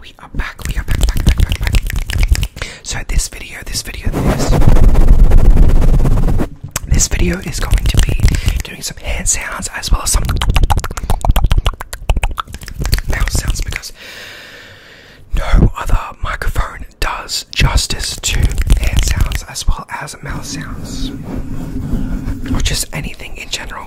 We are back, we are back, So this video, this video, this this video is going to be doing some hand sounds as well as some mouth sounds because no other microphone does justice to hand sounds as well as mouth sounds. Or just anything in general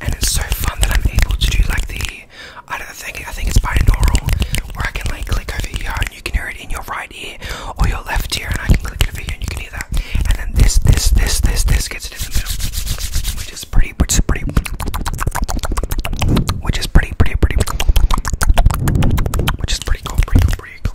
And it's so fun that I'm able to do like the I don't think I think it's binaural where I can like click over here and you can hear it in your right ear or your left ear and I can click over here and you can hear that. And then this this this this this gets Which is pretty which is pretty which is pretty pretty pretty which is pretty cool pretty cool pretty cool.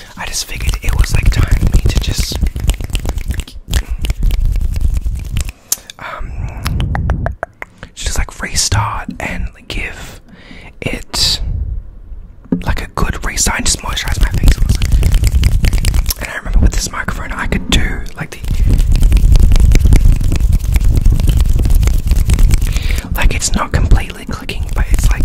I just figured it was like time for me to just um just like restart and give it like a good restart and just moisturize my face. And I remember with this microphone I could do like the like it's not completely clicking but it's like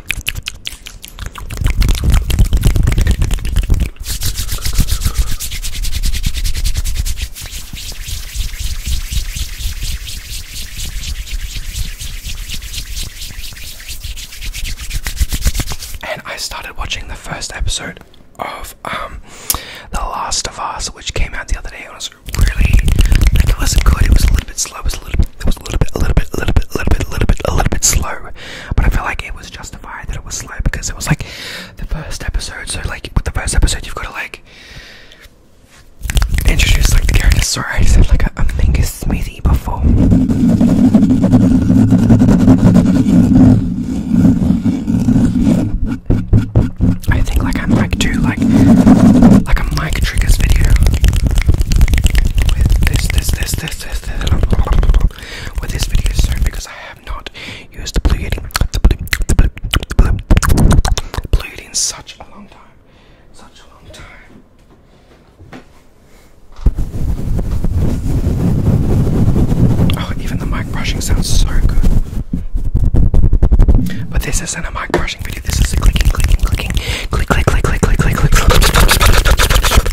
And I started watching the first episode of um, The Last of Us, which came out the other day, and it was really like it wasn't good. It was a little bit slow. It was a little. bit was a little bit, a little bit, a little bit, a little bit, a little bit, a little bit slow. But I feel like it was justified that it was slow because it was like the first episode. So like with the first episode, you've got to like introduce like the characters. Sorry, I just had like a, a finger smoothie before. I think like I might do like like a mic triggers video with this this this this this, this with this video soon because I have not used the blue yeti, in such a long time, such a long time. Oh, even the mic brushing sounds so good. But this isn't a mic brushing video. This is clicking, clicking, clicking, click, click, click, click, click, click, click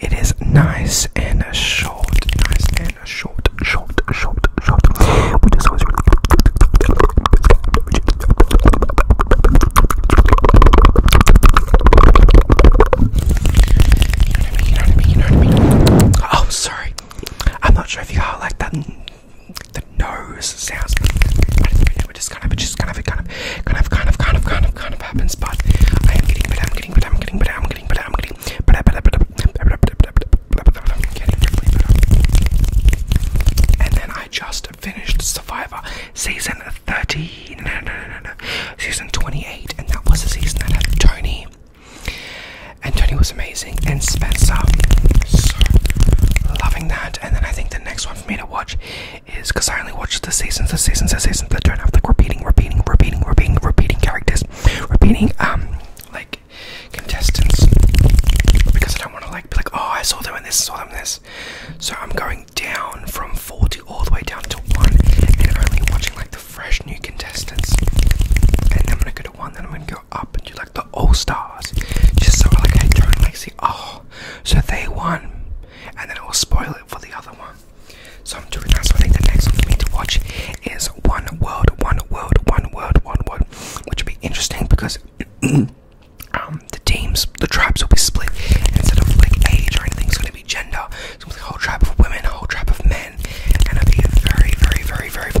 it is nice and short, nice and short, short, short, short. Oh, sorry. I'm not sure if you all like that. The nose sounds. But we're just kind of, just kind of, kind of kind of, kind of, kind of, kind of, kind of happens. But I am getting better. I'm getting better. I'm getting better. I'm getting better. I'm getting better. Better. Better. Better. Better. I'm getting better. And then I just finished Survivor season 30. No, no, no, no. Season 28, and that was the season that had Tony. And Tony was amazing, and Spencer, so loving that. And then I think the next one for me to watch is because I only watch the seasons, the seasons, the seasons that don't have like repeating, repeating, repeating, repeating, repeating characters, repeating um like contestants because I don't want to like be like oh I saw them in this, saw them in this. So I'm going down from forty all the way down to one and only watching like the fresh new contestants. And then I'm gonna go to one, then I'm gonna go up and do like the all stars, just so like I don't like see oh so they won, and then it will spoil it for the other one. So I'm doing that. So I think the next one for me to watch is One World, One World, One World, One World, which will be interesting because um, the teams, the tribes will be split instead of like age or anything. It's going to be gender. It's going a whole tribe of women, a whole tribe of men, and it'll be very, very, very, very.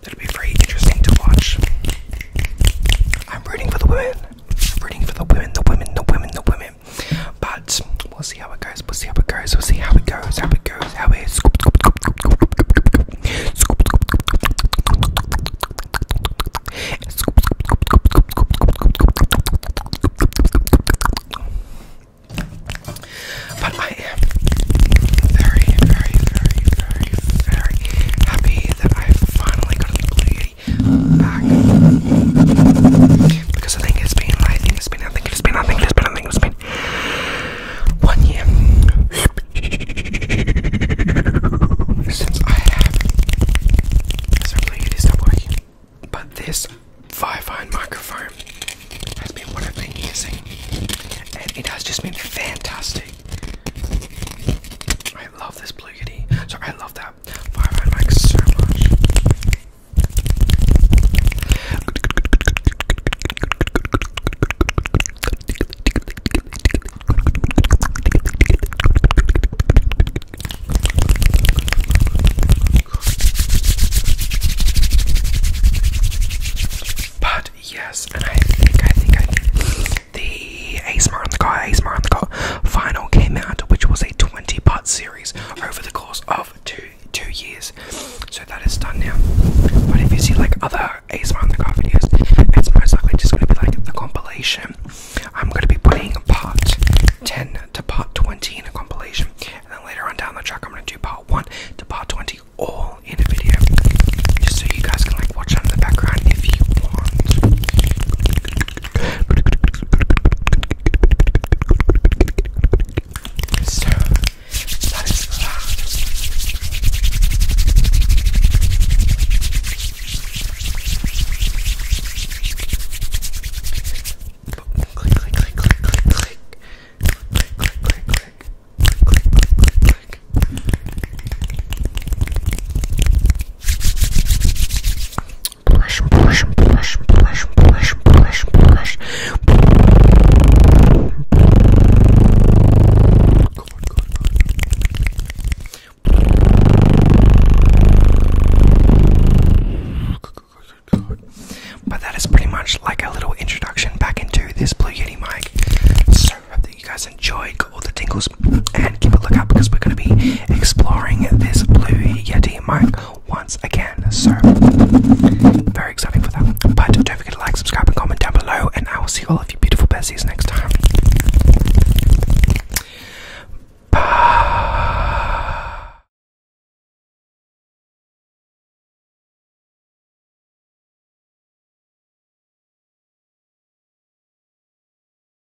That'll be very interesting to watch. I'm rooting for the women rooting for the women, the women, the women, the women. But we'll see how it goes. We'll see how it goes. We'll see how it goes. How it goes. How it is. But I am very, very, very, very, very happy that I finally got to complete because I think it's been, I think it's been, I think it's been, I think it's been, I think it's been, I think it's been one year since I have. Certainly it is not But this Vivine microphone has been what I've been using, and it has just been fantastic. I love this blue So I love that why Five I like so much. But yes, and I think I think I the Ace on the car, ASMR on the car final came out, which was a 20 part series over the course of two two years. So that is done now. But if you see like other Ace on the car videos, it's most likely just gonna be like the compilation. I'm gonna be putting part 10 to part 20 in a compilation, and then later on down the track, I'm gonna do part 1 to part 20 all in a video, just so you guys can like watch in the background if you want. So that is that. Click, click, click, click, click, click, click, click, click, click. Click, click, click, click, click. But that is pretty much like a little introduction back into this Blue Yeti mic. So I hope that you guys enjoy all the tingles and keep a lookout because we're going to be exploring this Blue Yeti mic once again. So, very exciting for that. But don't forget to like, subscribe, and comment down below, and I will see all of you beautiful bessies next time.